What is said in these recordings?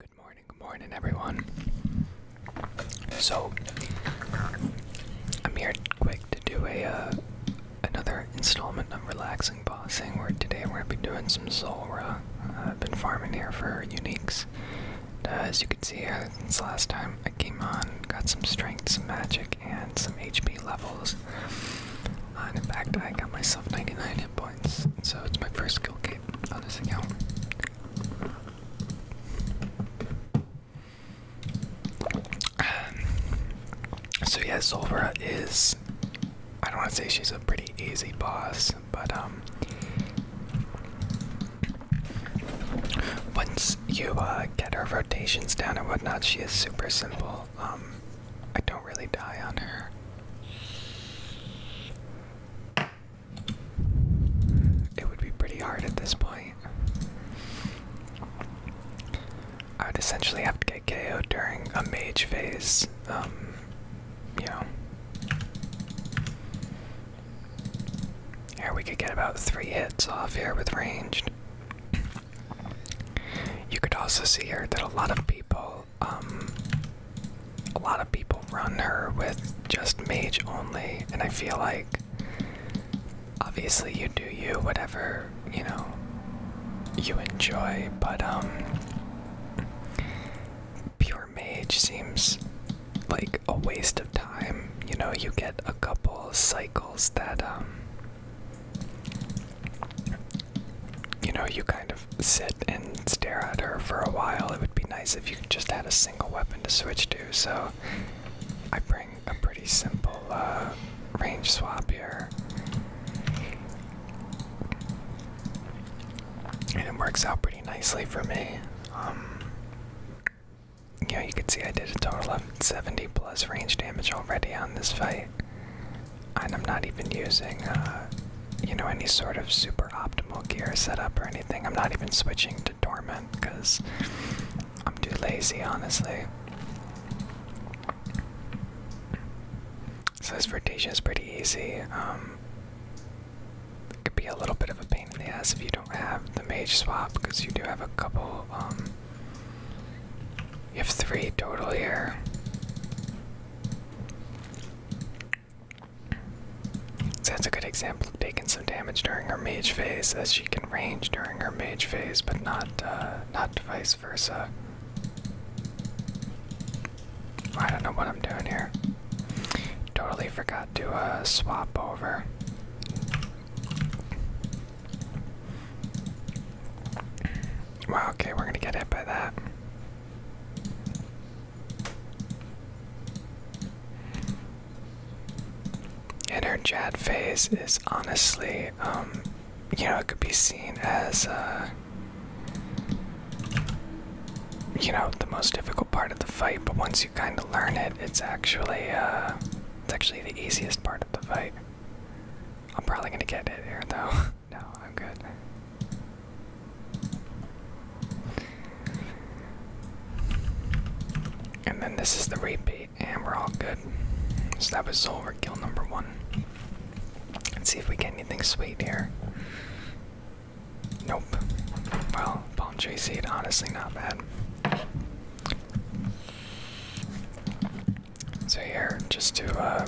Good morning, good morning, everyone. So, I'm here quick to do a uh, another installment of relaxing bossing. Where today we're gonna be doing some Zolra. Uh, I've been farming here for uniques. Uh, as you can see, uh, since last time I came on, got some strength, some magic, and some HP levels. and in fact, I got myself 99 hit points. So it's my first skill game. Um, so yeah, Solvera is I don't want to say she's a pretty easy boss, but um once you uh, get her rotations down and whatnot, she is super simple. Um I don't really die on her. It would be pretty hard at this point. I would essentially have to get ko during a mage phase, um, you know. Here we could get about three hits off here with ranged. You could also see here that a lot of people um, a lot of people run her with just mage only, and I feel like obviously you do you, whatever you know you enjoy, but um, pure mage seems like a waste of time. You know, you get a couple cycles that um, you know, you kind of sit and stare at her for a while. It would be nice if you just had a single weapon to switch to, so I bring a pretty simple uh, range swap here. And it works out pretty nicely for me. Um, you know, you can see I did a total of 70 plus range damage already on this fight. And I'm not even using uh, you know, any sort of super optimal gear setup or anything. I'm not even switching to dormant because I'm too lazy, honestly. So this rotation is pretty easy. Um, it could be a little bit of a pain in the ass if you don't have the mage swap because you do have a couple. Um, you have three total here that's a good example of taking some damage during her mage phase, as she can range during her mage phase, but not uh, not vice versa. I don't know what I'm doing here. Totally forgot to uh, swap over. Wow, okay, we're gonna get hit by that. And her Jad phase is honestly, um, you know, it could be seen as, uh, you know, the most difficult part of the fight. But once you kind of learn it, it's actually, uh, it's actually the easiest part of the fight. I'm probably gonna get it here, though. no, I'm good. And then this is the repeat, and we're all good. So that was Zolver kill number one. Let's see if we get anything sweet here. Nope. Well, palm tree seed, honestly, not bad. So here, just to uh,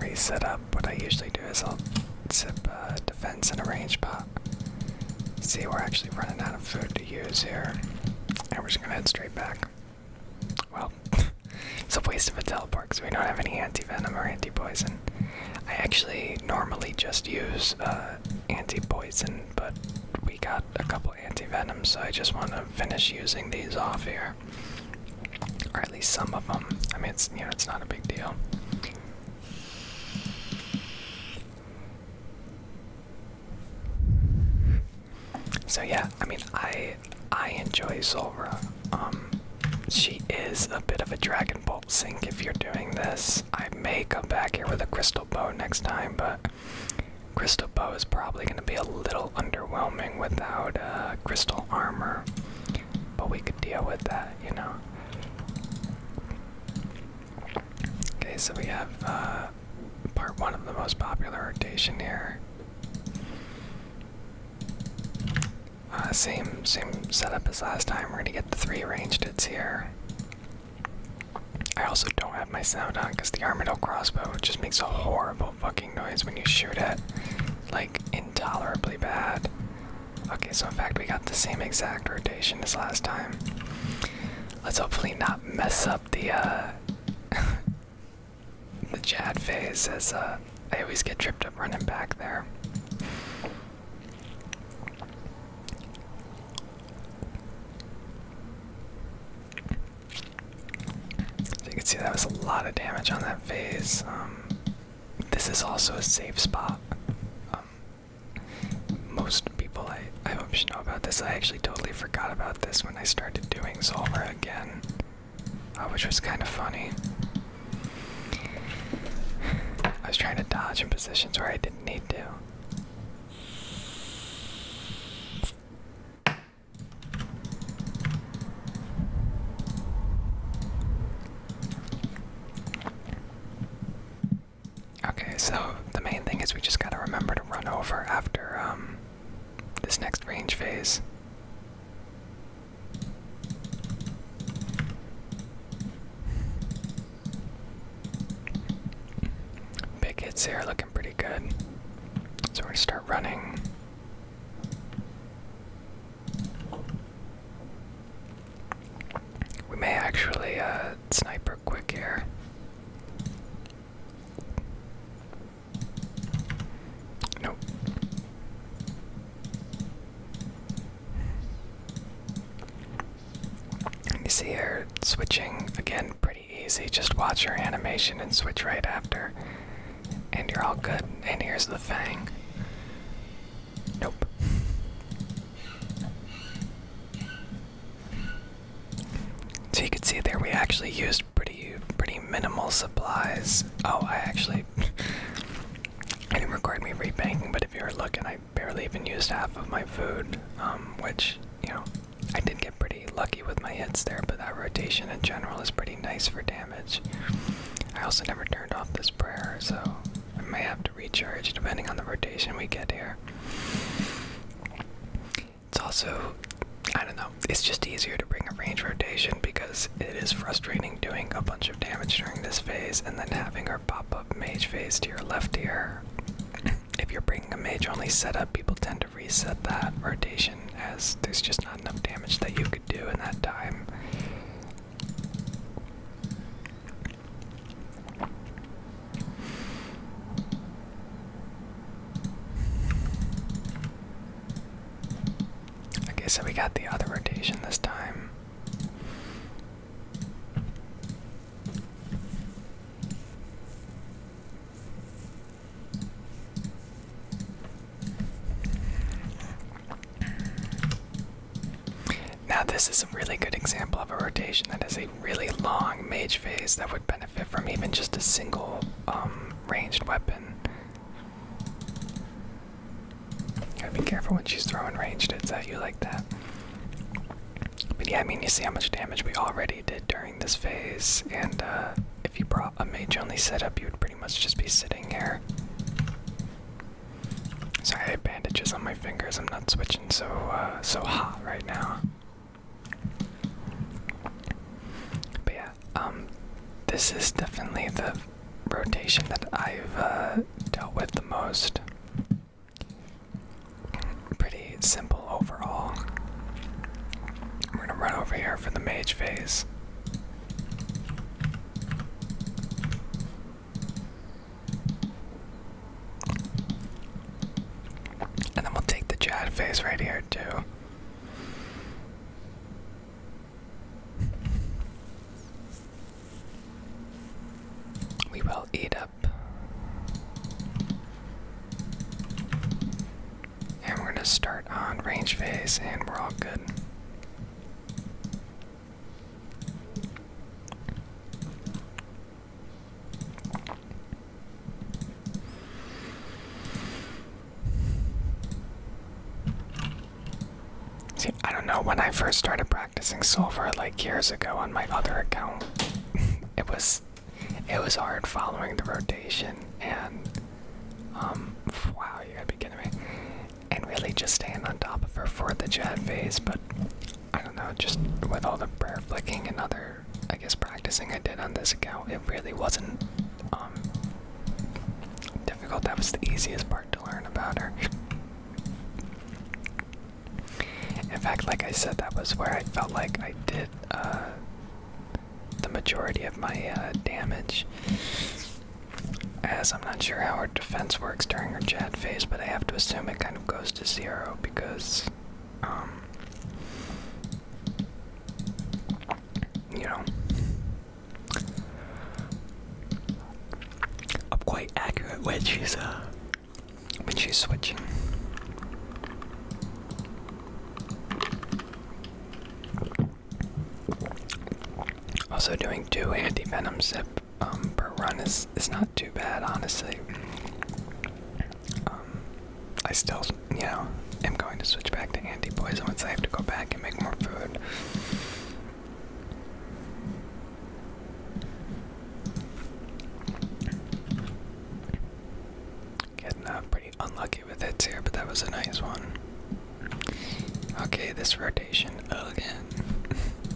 reset up, what I usually do is I'll zip uh, defense and arrange range pot see, we're actually running out of food to use here, and we're just gonna head straight back. Well, it's a waste of a teleport because we don't have any anti-venom or anti-poison. I actually normally just use uh, anti-poison, but we got a couple anti-venoms, so I just want to finish using these off here, or at least some of them. I mean, it's you know, it's not a big deal. So yeah, I mean, I I enjoy Zolra. Um, she is a bit of a Dragon Ball sink. If you're doing this, I may come back here with a Crystal Bow next time, but Crystal Bow is probably going to be a little underwhelming without uh, Crystal Armor. But we could deal with that, you know. Okay, so we have uh, part one of the most popular rotation here. Uh, same same setup as last time. We're gonna get the three ranged hits here. I also don't have my sound on because the armadillo crossbow just makes a horrible fucking noise when you shoot it, like intolerably bad. Okay, so in fact, we got the same exact rotation as last time. Let's hopefully not mess up the uh, the Jad phase, as uh, I always get tripped up running back there. you can see that was a lot of damage on that phase. Um, this is also a safe spot. Um, most people I, I hope you know about this. I actually totally forgot about this when I started doing Solver again, uh, which was kind of funny. I was trying to dodge in positions where I didn't need to. Okay, so the main thing is we just gotta remember to run over after um, this next range phase. Big hits here, looking pretty good. So we're gonna start running. We may actually uh, sniper quick here. Nope. And you see her switching again pretty easy. Just watch her animation and switch right after. And you're all good. And here's the fang. Nope. So you can see there we actually used pretty pretty minimal supplies. Oh, I actually I didn't record me rebanking, but if you are looking, I barely even used half of my food, um, which you know I did get pretty lucky with my hits there. But that rotation in general is pretty nice for damage. I also never turned off this prayer, so I may have to recharge depending on the rotation we get here. It's also, I don't know, it's just easier to bring a range rotation because it is frustrating doing a bunch of damage during this phase and then having her pop up mage phase to your left ear. if you're bringing a mage only setup, people tend to reset that rotation as there's just not enough damage that you could do in that time. Okay, so we got the other rotation this time. Now, this is a really good example of a rotation that is a really long mage phase that would benefit from even just a single um, ranged weapon. Gotta be careful when she's throwing ranged hits at you like that. But yeah, I mean, you see how much damage we already did during this phase, and uh, if you brought a mage only setup, you would pretty much just be sitting here. Sorry, bandages on my fingers. I'm not switching so uh, so hot right now. But yeah, um, this is definitely the rotation that I've uh, dealt with the most. Pretty simple overall. We're gonna run over here for the mage phase. And then we'll take the Chad face right here, too. We will eat up. And we're going to start on range phase, and we're all good. See, I don't know when I first started practicing silver like years ago on my other account. it was it was hard following the rotation and um wow, you gotta be kidding me. And really just staying on top of her for the chat phase, but I don't know, just with all the prayer flicking and other, I guess, practicing I did on this account, it really wasn't um, difficult. That was the easiest part to learn about her. In fact, like I said, that was where I felt like I did uh, the majority of my uh, damage. As I'm not sure how her defense works during her chat phase, but I have to assume it kind of goes to zero because, um, you know, I'm quite accurate when she's uh, when she's switching. Also, doing two anti-venom zip um, per run is is not too bad, honestly. Um, I still, you know, am going to switch back to anti-poison once I have to go back and make more food. Getting uh, pretty unlucky with hits here, but that was a nice one. Okay, this rotation again.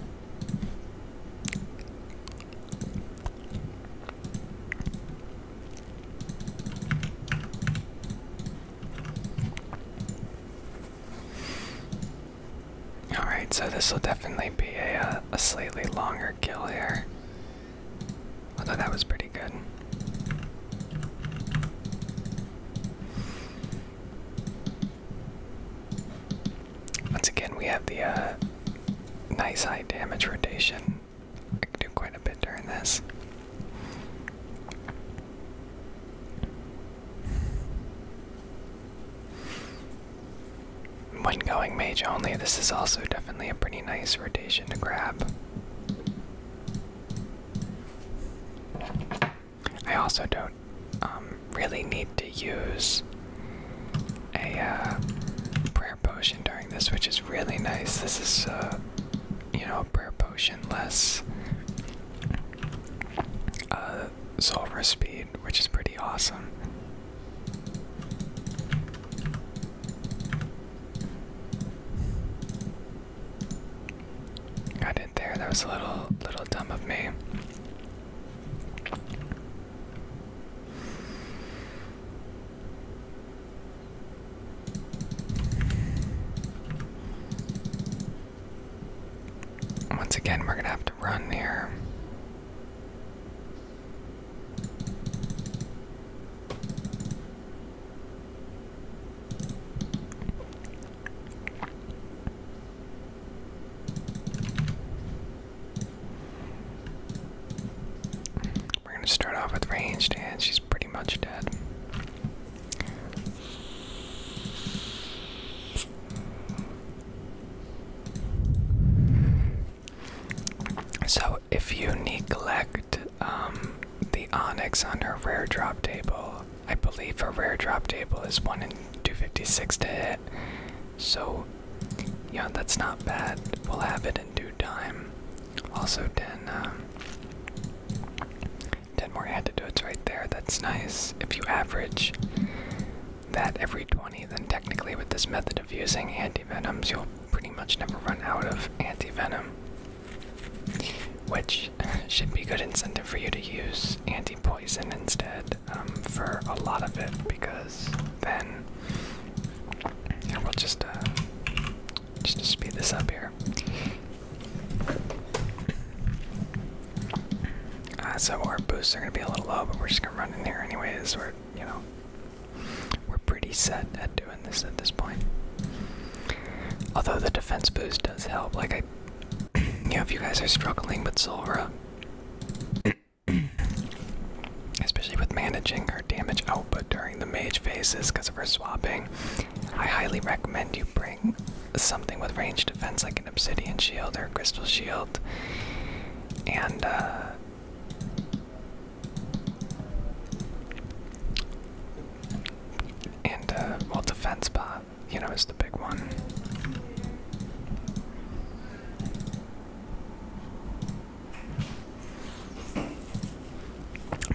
All right, so this will definitely be a, uh, a slightly longer kill here. Although that was pretty good. Once again, we have the uh, nice high damage rotation. I do quite a bit during this. When going mage only, this is also definitely a pretty nice rotation to grab. I also don't um, really need to use a uh, prayer potion during this, which is really nice. This is, uh, you know, a prayer potion less uh, solver speed, which is pretty awesome. Got it there. That was a little, little dumb of me. Once again, we're going to have to run here. We're gonna start off with ranged, and she's pretty much dead. So, if you neglect um, the onyx on her rare drop table, I believe her rare drop table is 1 in 256 to hit. So, yeah, that's not bad. We'll have it in due time. Also, 10, um, 10 more antidotes right there. That's nice. If you average that every 20, then technically with this method of using anti-venoms, you'll pretty much never run out of anti-venom, Which should be good incentive for you to use anti poison instead um, for a lot of it because then yeah, we'll just uh, just speed this up here. Uh, so our boosts are gonna be a little low, but we're just gonna run in here anyways. We're you know we're pretty set at doing this at this point. Although the defense boost does help, like I you know if you guys are struggling with Solra Especially with managing her damage output during the mage phases because of her swapping. I highly recommend you bring something with range defense like an obsidian shield or a crystal shield. And, uh, uh, well, defense bot, you know, is the big one.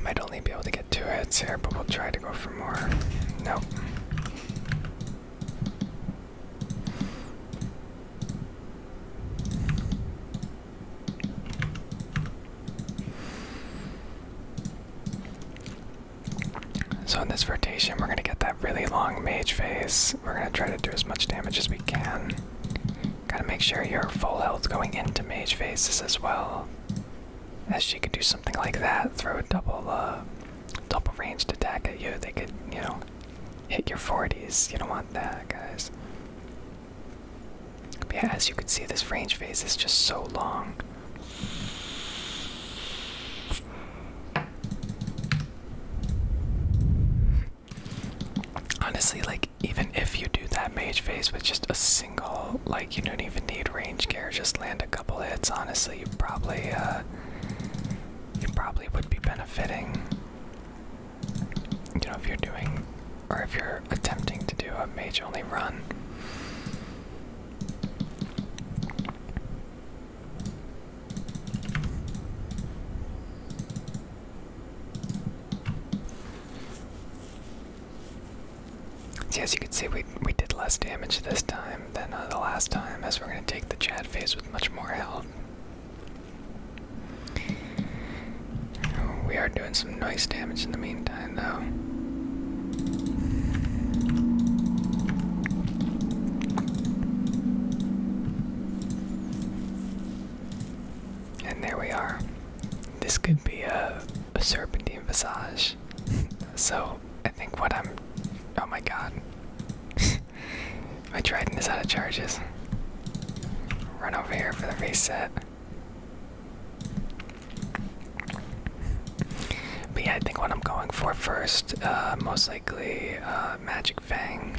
Might only be able to get two hits here, but we'll try to go for more. Nope. So in this rotation, we're going to get that really long mage phase, we're gonna try to do as much damage as we can. Gotta make sure you're full health going into mage phases as well. As she could do something like that, throw a double, uh, double ranged attack at you. They could, you know, hit your 40s. You don't want that, guys. yeah, as you can see, this range phase is just so long. Honestly, like, even if you do that mage phase with just a single, like, you don't even need range gear, just land a couple hits, honestly, you probably, uh, you probably would be benefiting. You know, if you're doing, or if you're attempting to do a mage only run. See, as you can see, we, we did less damage this time than uh, the last time, as we're going to take the Chad phase with much more help. We are doing some nice damage in the meantime, though. And there we are. This could be a, serpentine visage. so I think what I'm. Oh my god. My trident is out of charges. Run over here for the reset. But yeah, I think what I'm going for first, uh, most likely uh, Magic Fang.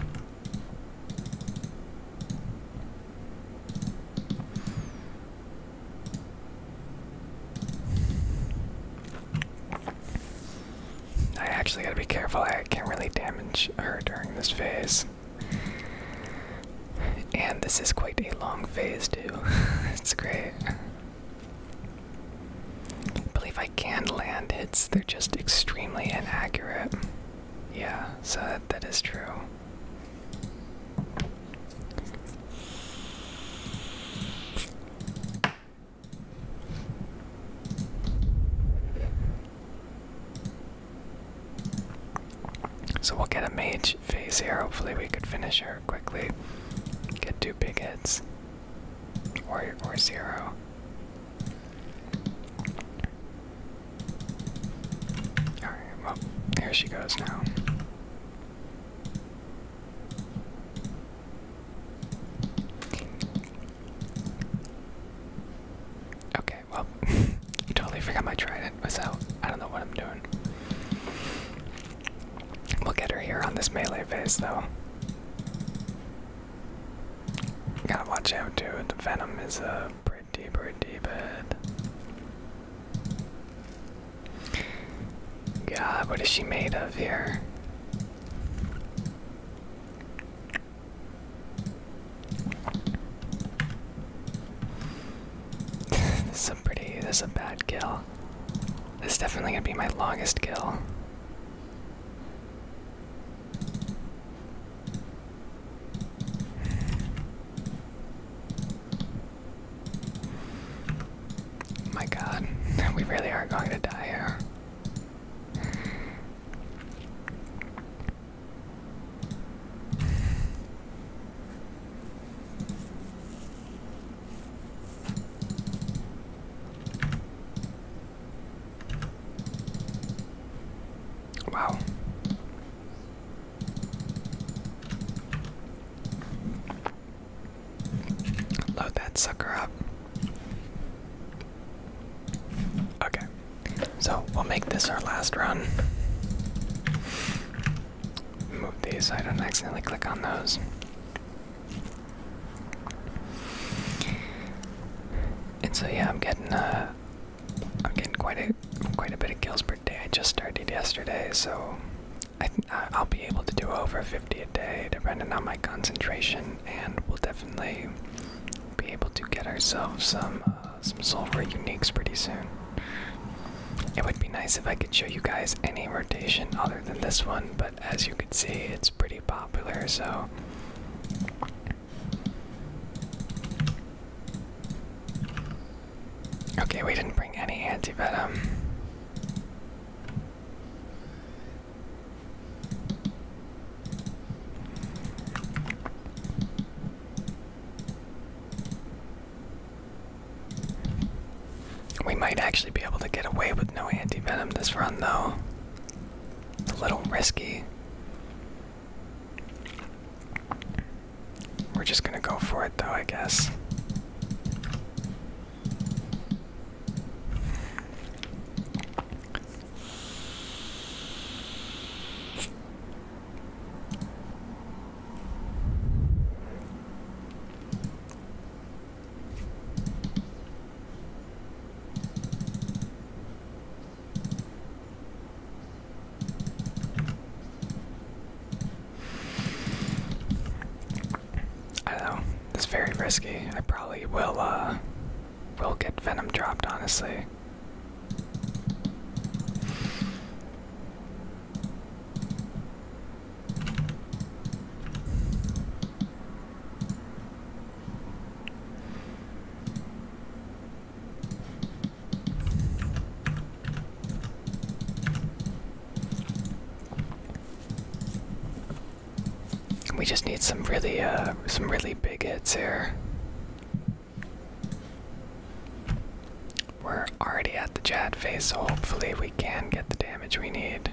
I actually gotta be careful, I can't really damage her during this phase. And this is quite a long phase, too. it's great believe I can land hits, they're just extremely inaccurate. Yeah, so that is true. So we'll get a mage phase here. Hopefully, we could finish her quickly. Get two big hits or or zero. All right. Well, here she goes now. Okay, well, you totally forgot my trident was out. I don't know what I'm doing. We'll get her here on this melee phase, though gotta watch out too. The venom is a uh, pretty, pretty bad. God, what is she made of here? this is a pretty. This is a bad kill. This is definitely gonna be my longest kill. My god, we really are going to die here. Wow. Load that sucker up. Okay, so we'll make this our last run. Move these I don't accidentally click on those. And so yeah, I'm getting uh, I'm getting quite a quite a bit of kills per day. I just started yesterday, so I I'll be able to do over 50 a day, depending on my concentration, and we'll definitely be able to get ourselves some uh, some silver uniques pretty soon. It would be nice if I could show you guys any rotation other than this one, but as you can see, it's pretty popular, so Okay, we didn't bring any anti-venom. We might actually be able to get away with no anti-venom this run, though. It's a little risky. We're just gonna go for it though, I guess. I know. It's very risky. I probably will uh will get venom dropped honestly. We just need some really, uh, some really big hits here. We're already at the Jad phase, so hopefully we can get the damage we need.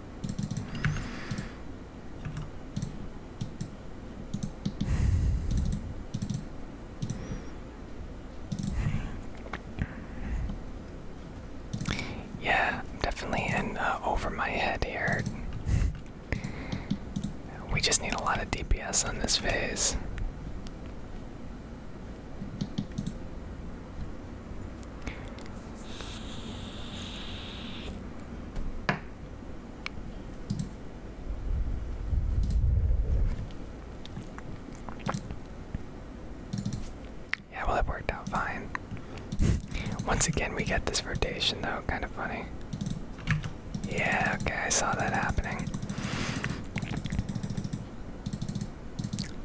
Yeah, definitely in uh, over my head here. We just need a lot of DPS on this phase. Yeah, well, it worked out fine. Once again, we get this rotation, though, kind of funny. Yeah, okay, I saw that happening.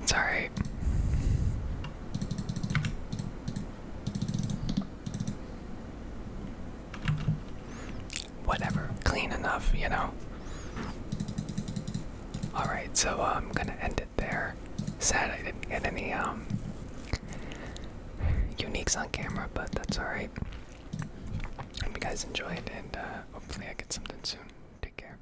It's Whatever, clean enough, you know. Alright, so uh, I'm gonna end it there. Sad I didn't get any um uniques on camera, but that's alright. Hope you guys enjoyed, and uh, hopefully I get something soon. Take care.